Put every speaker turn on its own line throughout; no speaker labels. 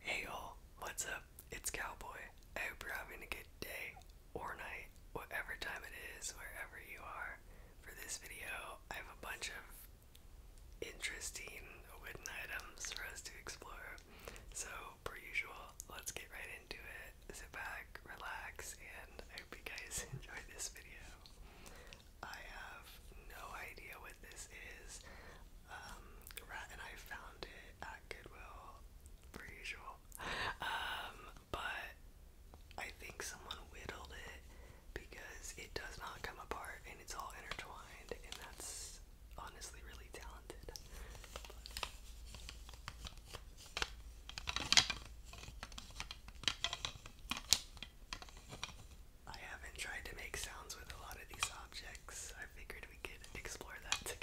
Hey y'all, what's up? It's Cowboy. I hope you're having a good day or night, whatever time it is, wherever you are. For this video, I have a bunch of interesting wooden items for us to explore. So, per usual, let's get right into it. Sit back, relax, and I hope you guys enjoy this video. I have no idea what this is rat, and I found it at Goodwill, per usual. Um, but I think someone whittled it because it does not come apart and it's all intertwined, and that's honestly really talented. I haven't tried to make sounds with a lot of these objects. I figured we could explore that together.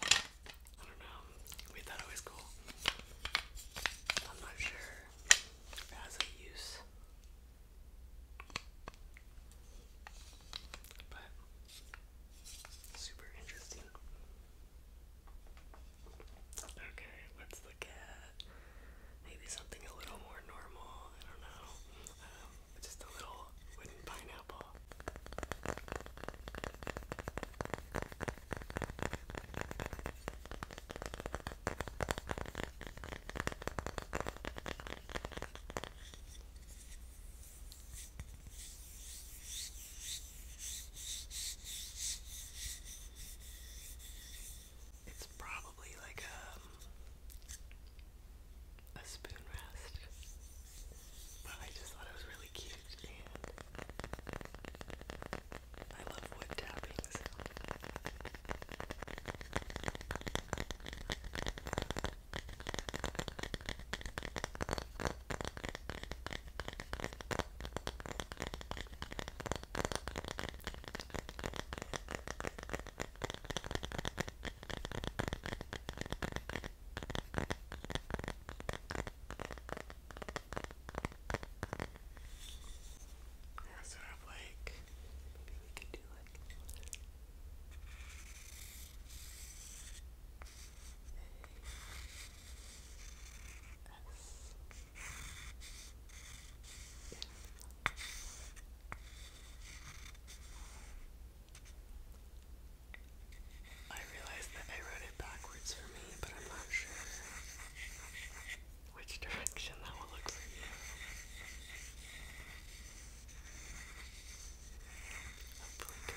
I don't know. We thought it was cool. I'm not sure if use. But super interesting. Okay, let's look maybe something a little more normal. I don't know. Um, just a little wooden pineapple. It's probably like a, um, a spoon rest, but I just thought it was really cute and I love wood tappings. I or sort of like maybe we could do like a S I realized that I wrote it backwards for me, but I'm not sure which direction that will look for you. correct.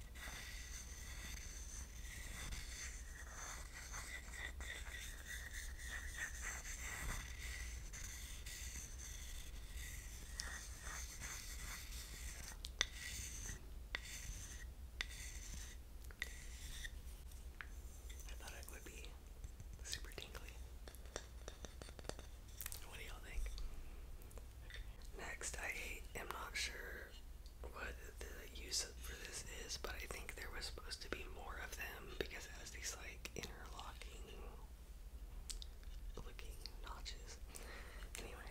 I thought it would be super tingly. What do y'all think? Next, I am not sure what the use for this is, but I think there was supposed to be more of them because it has these like interlocking looking notches. Anyway.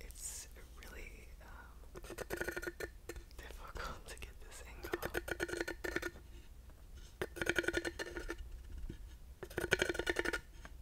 It's really um, difficult to get this angle.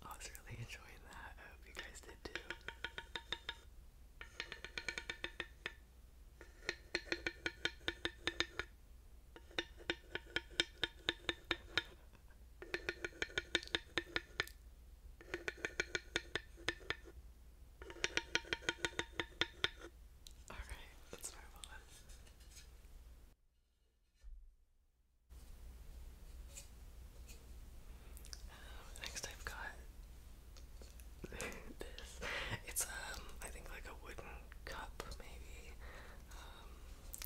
I was really enjoying that. I hope you guys did too. Alright, let's move on. Um, next I've got this. It's um I think like a wooden cup maybe. Um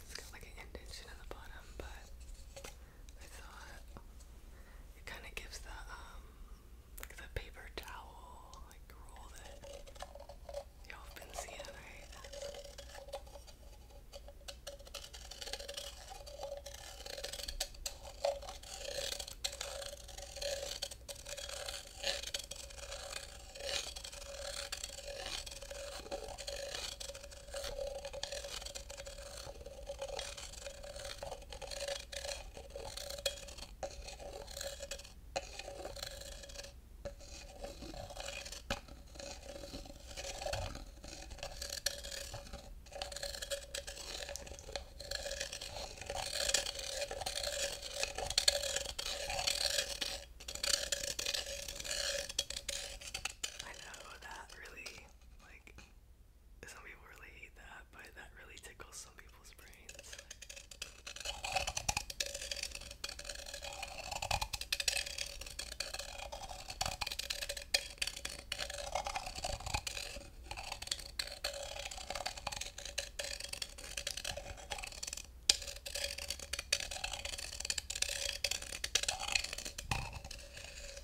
it's got like an indentation in the bottom, but I thought it kind of gives the um the paper towel like roll that y'all been seeing, right? I know that really like, some people really hate that, but that really tickles some people's brains.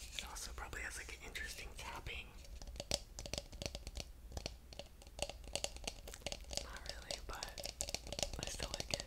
It also probably has like an interesting tapping. Not really, but I still like it.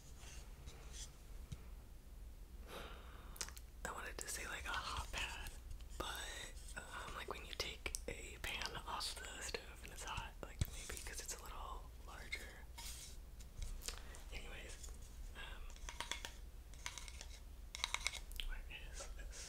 I wanted to say like a hot pad, but um, like when you take a pan off the stove and it's hot, like maybe because it's a little larger. Anyways, um, where is this?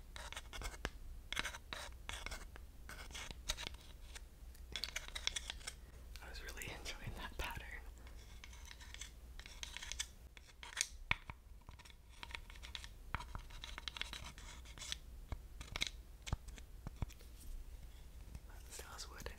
I was really enjoying that pattern. That still has wood in it.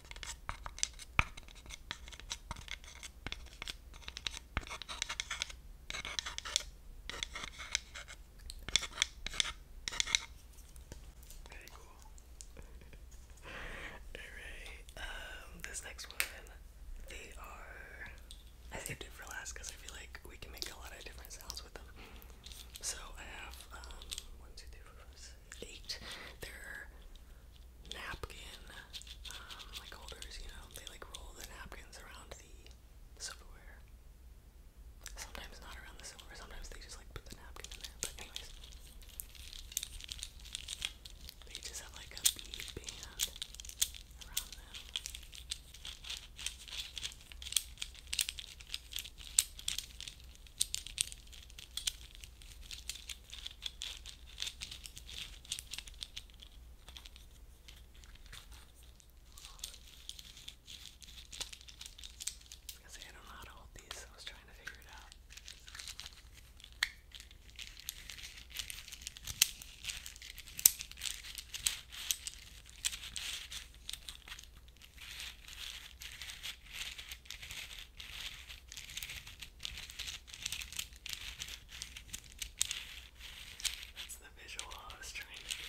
Very cool. Alright, um, this next one, they are. I saved it for last because I feel like we can make a lot of different sounds with them. So I have um, one, two, three, four, five, six, eight. There are napkin um, like holders, you know, they like roll the napkins around the silverware. Sometimes not around the silverware, sometimes they just like put the napkin in there. But anyways. They just have like a bead band around them. I say I don't know how to hold these, so I was trying to figure it out. That's the visual I was trying to get.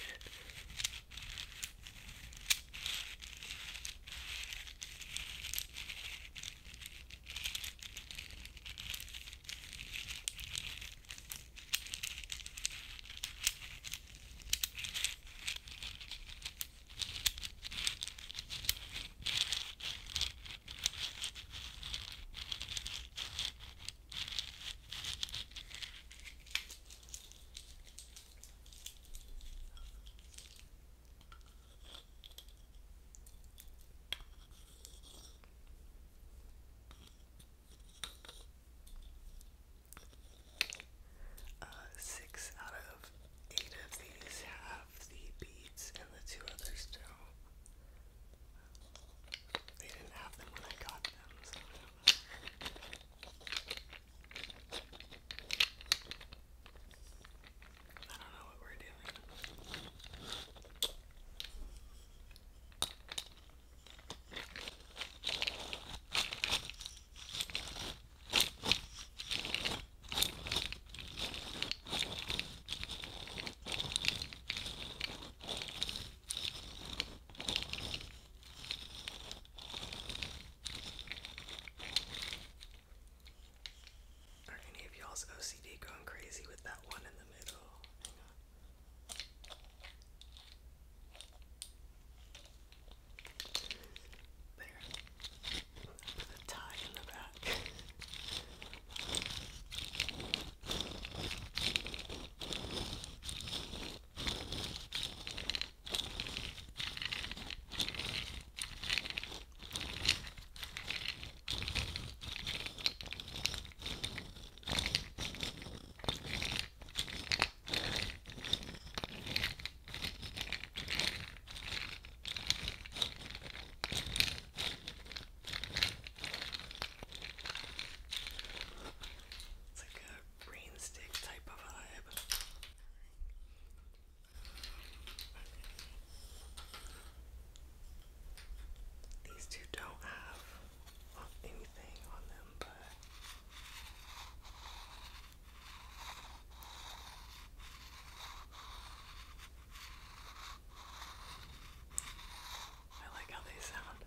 Uh, six out of Eight of these have the beads and the two others do. They didn't have them when I got them, I don't know what we're doing. Are any of y'all's OCD going crazy with that one in the middle? There. Put a tie in the back. It's like a rain stick type of vibe. These two don't have anything on them, but I like how they sound.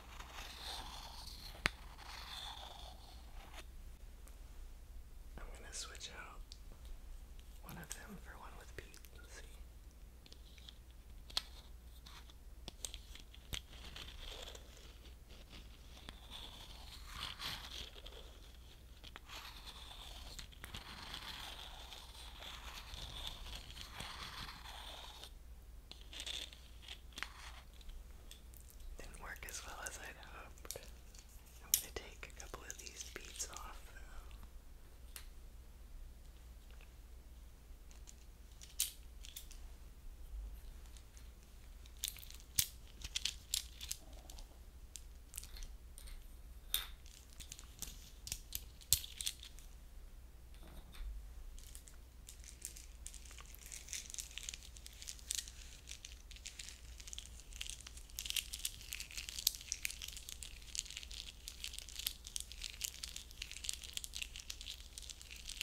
I'm gonna switch out one of them for one with Pete and see. Didn't work as well as I'd hoped. I'm gonna take a couple of these beads off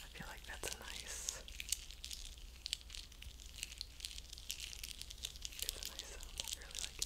I feel like that's a nice it's a nice sound. I really like it.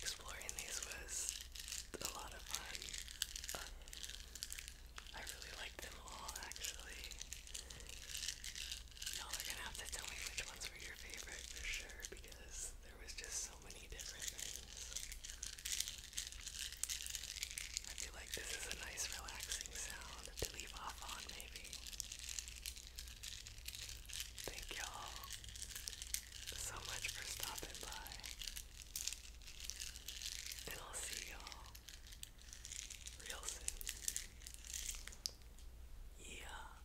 Exploring these was a lot of fun. Uh, I really liked them all actually. Y'all are gonna have to tell me which ones were your favorite for sure because there was just so many different things. I feel like this is a nice relaxing sound to leave off on maybe. Thank y'all so much for stopping by. And I'll see y'all real soon. Yeah.